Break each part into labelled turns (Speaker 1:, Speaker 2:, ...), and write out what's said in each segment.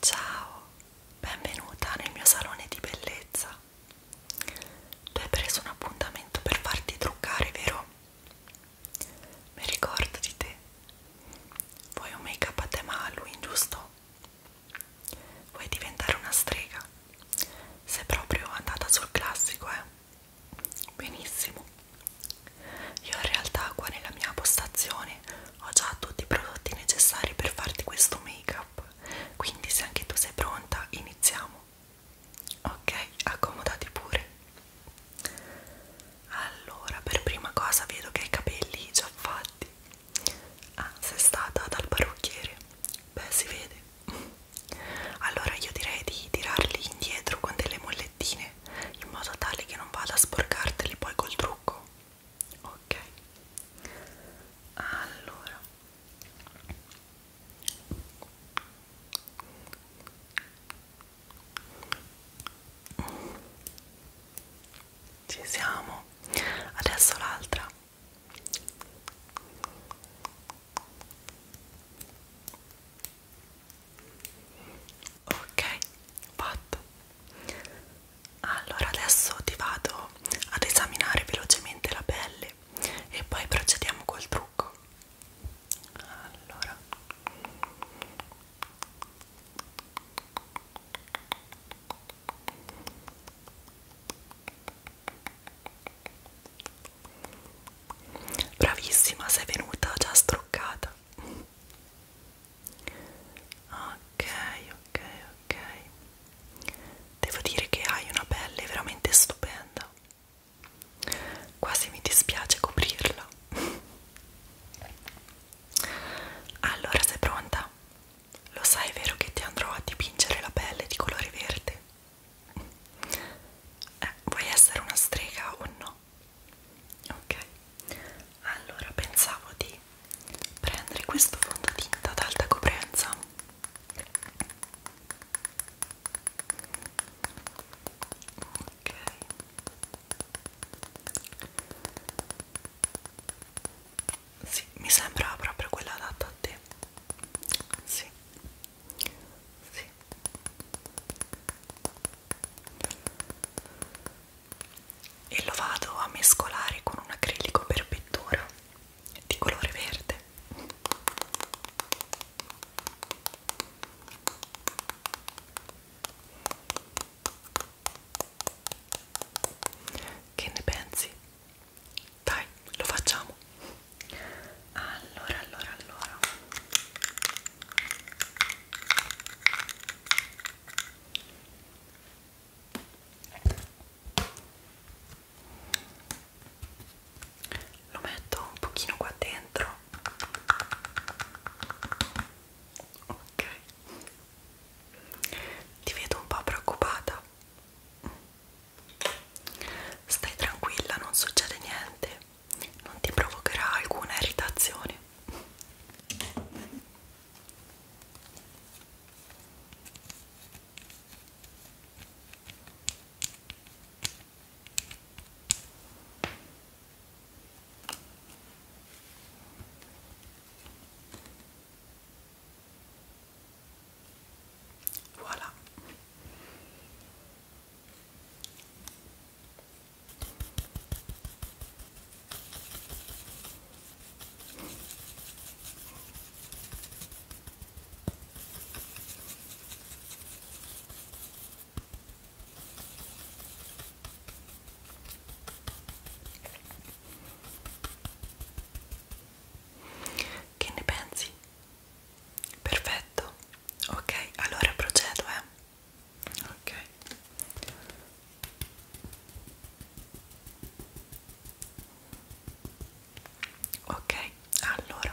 Speaker 1: Ciao, benvenuta nel mio salone di bellezza. Tu hai preso un appuntamento per farti truccare, vero? Mi ricordo di te. Vuoi un make-up a tema Halloween, giusto? Vuoi diventare una strega? Sei proprio andata sul classico, eh? benissimo io in realtà qua nella mia postazione ho già tutti i prodotti necessari per farti questo make up quindi se anche tu sei pronta iniziamo ok accomodati pure allora per prima cosa vedo che hai i capelli già fatti ah sei stata dal parrucchiere beh si vede allora io direi di tirarli indietro con delle mollettine in modo tale che non vada a sporcarteli poi col trucco ok allora ci siamo adesso l'altra ok fatto allora adesso ti vado ad esaminare velocemente la pelle e poi procediamo col trucco allora Bravissima, sei venuta già struccata. Ok, ok, ok. Devo dire che hai una pelle veramente stupenda. Quasi mi dispiace coprirla. Allora, sei pronta? Lo sai, vero che ti andrò a dipingere la pelle di colore verde? eh, vuoi essere una strega o no? ok allora pensavo di prendere questo fondotinta ad alta coprenza ok sì, mi sembra proprio quella adatta a te sì sì. E lo vado a mescolare con un acrilico per pittura di colore verde. Che ne pensi? Dai, lo facciamo. Allora, allora, allora. Lo metto un pochino qua dentro. Ok. Ti vedo un po' preoccupata. Stai tranquilla, non succede niente, non ti provocherà alcuna irritazione. Voilà. Che ne pensi? Perfetto, ok, allora procedo, eh. Ok. Ok, allora.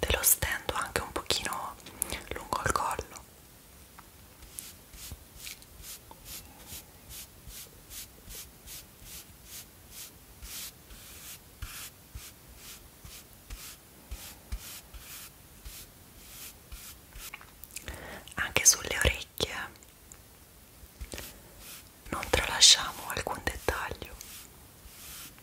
Speaker 1: te lo stendo anche un pochino lungo il collo anche sulle orecchie non tralasciamo alcun dettaglio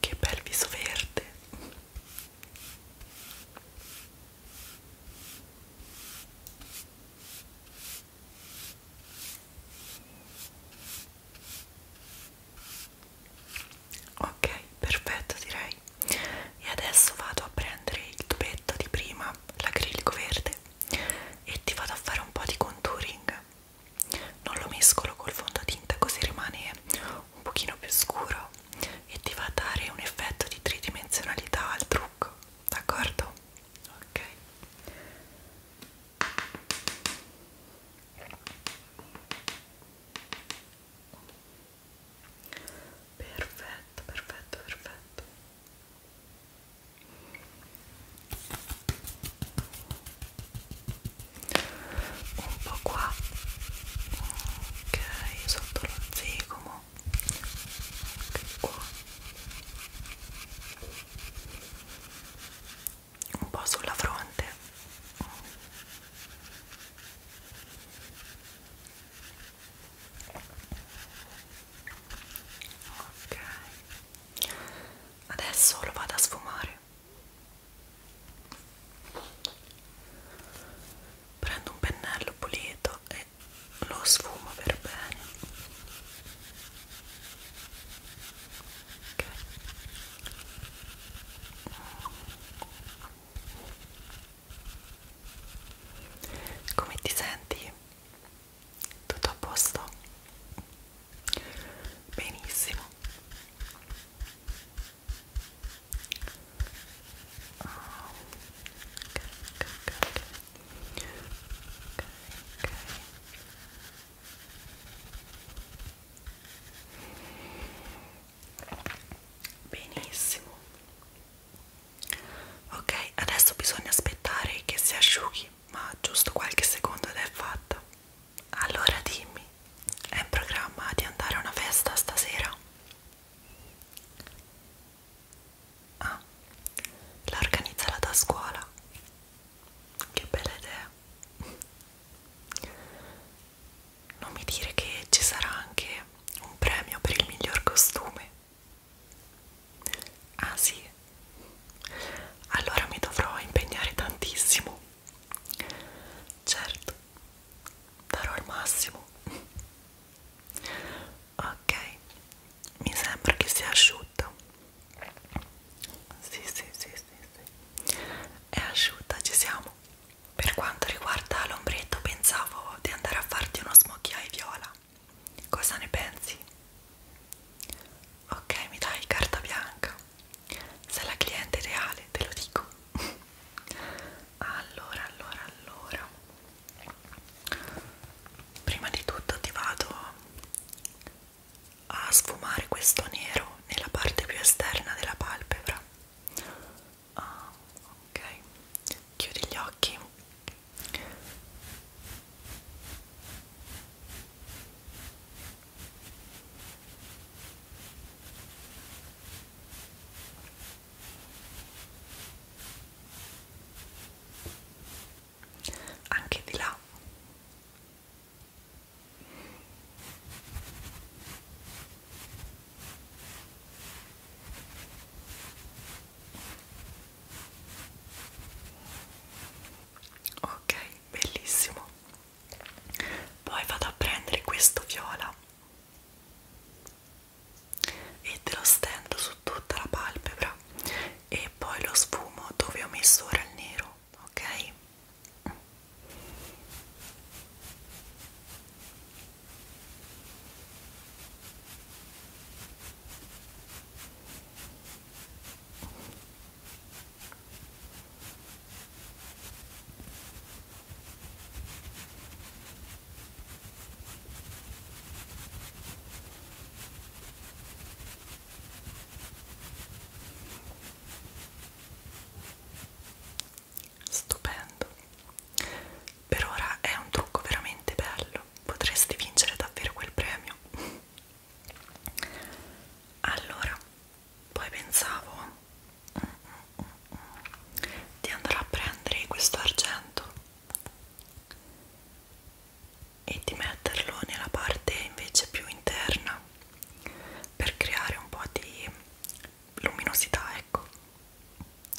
Speaker 1: Che bel viso verde. Ok, perfetto direi. E adesso vado a prendere il tubetto di prima, l'acrilico verde, e ti vado a fare un po' di contouring non lo mescolo col fondotinta così rimane un pochino più scuro e ti va a dare un effetto di tridimensionalità al trucco d'accordo? ok perfetto perfetto perfetto un po' qua ok sotto lo zigomo anche qua un po' sulla fronte ok adesso lo vado a sfumare prendo un pennello pulito e lo sfumo per bene okay. come ti senti? tutto a posto? benissimo oh. okay, okay, okay. Okay, okay. Benissimo. Ok, adesso bisogna aspettare che si asciughi, ma giusto qualche secondo ed è fatta. Allora dimmi, è in programma di andare a una festa stasera? Ah, l'ha organizzata da scuola. Che bella idea. Non mi dire che ci sarà anche un premio per il miglior costume. Ah sì, allora mi dovrò impegnare tantissimo certo darò il massimo ok mi sembra che sia asciutta sì sì sì sì, sì. è asciutta ci siamo per quanto riguarda l'ombretto pensavo di andare a farti uno smocchi ai viola cosa ne pensi? ok mi dai carta bianca sei la cliente reale te lo dico allora allora allora prima di tutto ti vado a sfumare questo nero nella parte più esterna della palpebra ah, ok chiudi gli occhi anche di là ok bellissimo poi vado a prendere questo viola e te lo stendo su tutta la palpebra e poi lo sfumo dove ho messo ora il nero ok Stupendo. Per ora è un trucco veramente bello. Potresti vincere davvero quel premio allora poi pensavo mm, mm, mm, mm, di andare a prendere questo argento e di metterlo nella parte invece più interna per creare un po' di luminosità ecco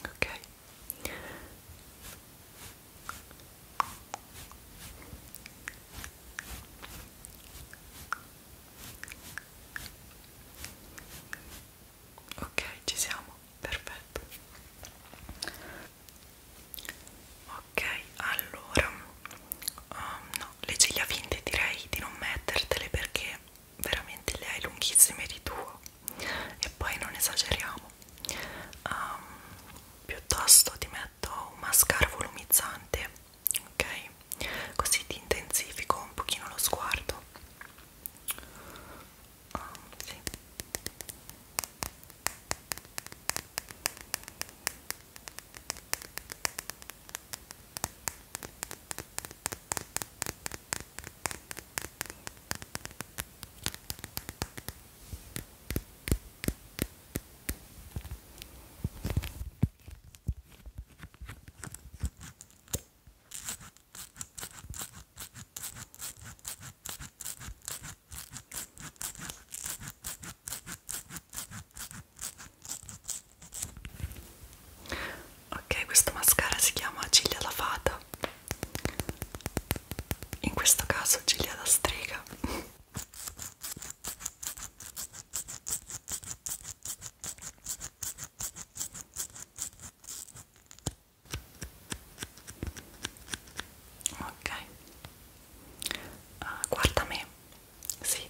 Speaker 1: ok Ok, ci siamo, perfetto. Ok, allora, um, no, le ciglia finte direi di non mettertele perché veramente le hai lunghissime di tuo e poi non esageriamo. Um, piuttosto ti metto metto un mascara volumizzante ok così ti intensifico un pochino lo sguardo ah, sì. Ok, questa mascara si chiama Ciglia da fata. In questo caso Ciglia da strega. Ok, uh, guarda me, sì.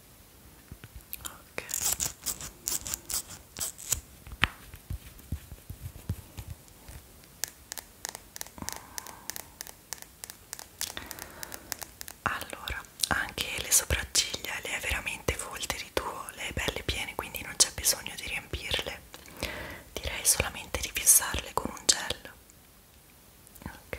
Speaker 1: ok allora anche le sopracciglia le è veramente volte di tuo le è belle piene quindi non c'è bisogno di riempirle direi solamente di fissarle con un gel ok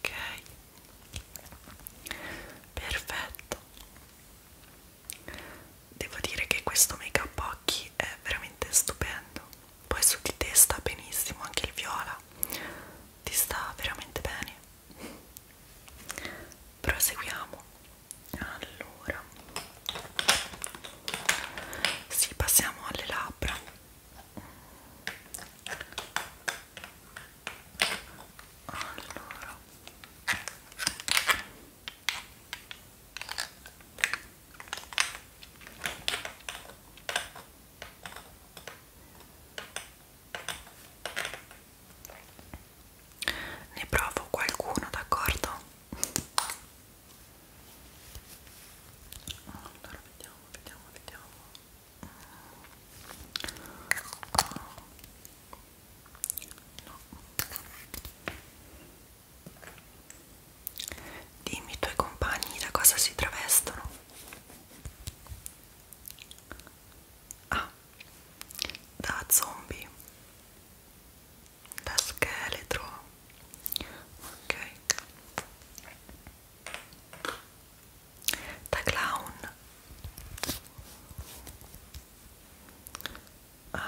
Speaker 1: Ok, perfetto devo dire che questo make up occhi è veramente stupendo poi su di te sta benissimo anche il viola ti sta veramente bene proseguiamo allora si sì, passiamo alle labbra allora ne provo qualcuno, d'accordo? Allora, vediamo, vediamo, vediamo. No. Dimmi i tuoi compagni da cosa si travestono. A. Ah, da zombie. Da scheletro. Ok. Da clown um, ehm,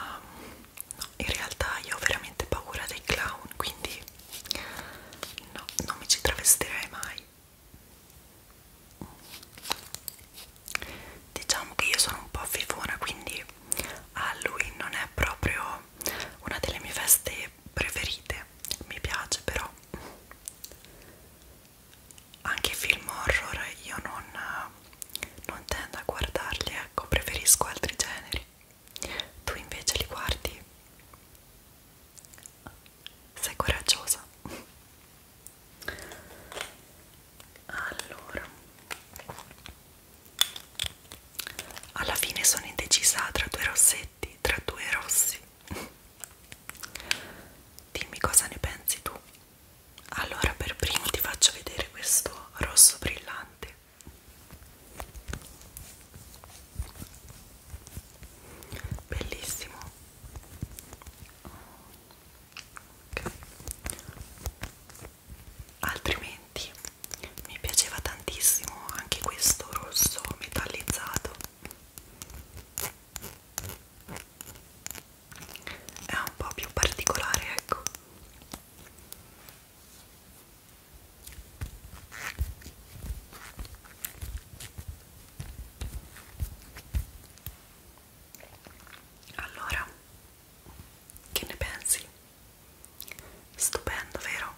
Speaker 1: no, in realtà io ho veramente paura dei clown quindi no, non mi ci travestirei mai diciamo che io sono un po' fifona quindi Halloween non è proprio una delle mie feste preferite mi piace però anche film horror io non non tendo a guardarli, ecco, preferisco altri generi. Tu invece li guardi? Sei coraggiosa. Allora, alla fine sono indecisa tra due rossetti, tra due rossi. Dimmi cosa ne pensi tu allora per primo ti faccio vedere questo rosso brillante bellissimo okay. altrimenti mi piaceva tantissimo anche questo rosso metallizzato è un po' più particolare ecco allora, che ne pensi? Stupendo, vero?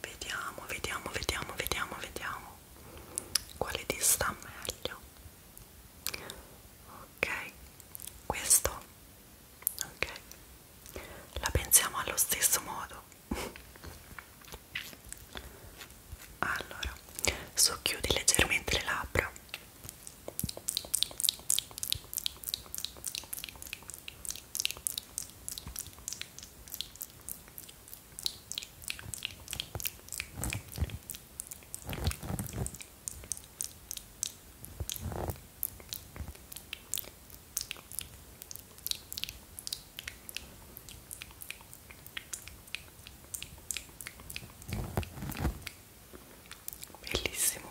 Speaker 1: Vediamo, vediamo, vediamo, vediamo, vediamo quale ti sta meglio ok questo ok la pensiamo allo stesso modo allora socchiudi leggermente le labbra Bellissimo.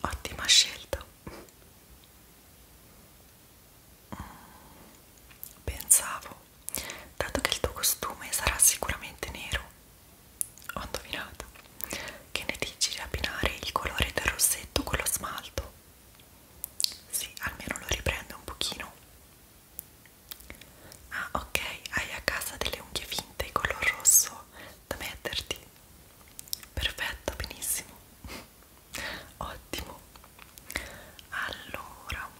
Speaker 1: Ottima scelta. Pensavo, dato che il tuo costume sarà sicuramente nero, ho indovinato, che ne dici di abbinare il colore del rossetto con lo smalto? Sì, almeno lo riprende un pochino. Ah, ok, hai a casa delle unghie finte color rosso da metterti. Perfetto, benissimo ottimo allora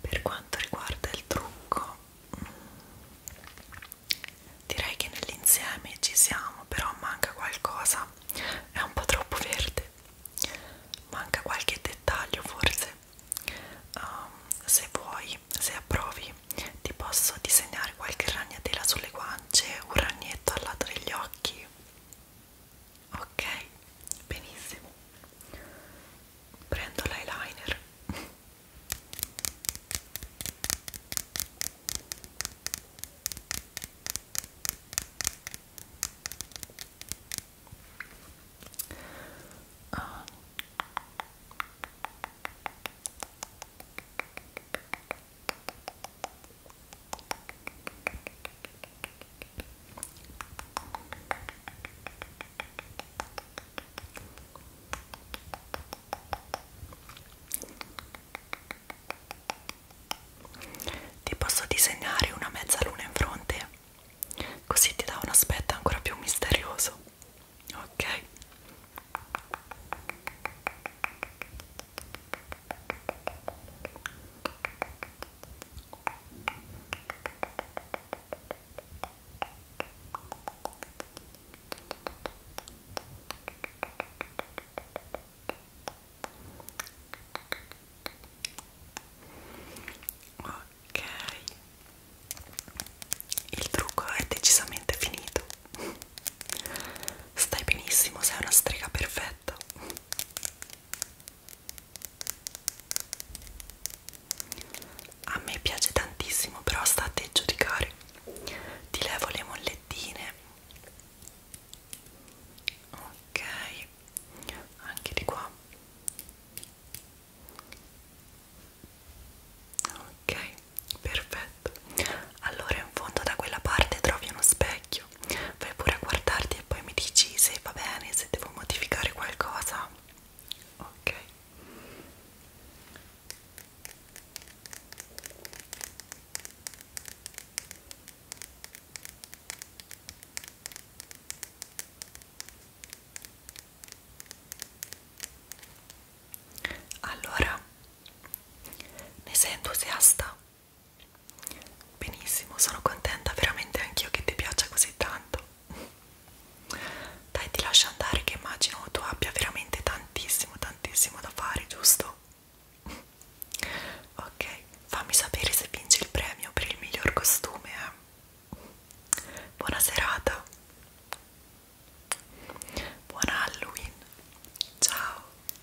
Speaker 1: per quanto riguarda il trucco mm, direi che nell'insieme ci siamo però manca qualcosa è un po' troppo verde manca qualche dettaglio forse um, se vuoi se approvi ti posso disegnare qualche ragnatela sulle guance un ragnetto al lato degli occhi ok benissimo prendo l'eyeliner ah. Ti posso disegnare una mezzaluna in fronte, così ti dà un aspetto ancora più misterioso. Ok. Ok, il trucco è decisamente finito. Stai benissimo, sei una strega perfetta a me piace tantissimo però sta a te giudicare ti levo le mollettine ok anche di qua ok perfetto allora in fondo da quella parte trovi uno specchio video vai pure a guardarti e poi mi dici se va bene se devo modificare qualcosa ok allora ne sei entusiasta Benissimo, sono contenta veramente anch'io che ti piaccia così tanto. Dai, ti lascio andare che immagino tu abbia veramente tantissimo, tantissimo da fare, giusto? Ok, fammi sapere se vinci il premio per il miglior costume. Eh? Buona serata. Buon Halloween. Ciao.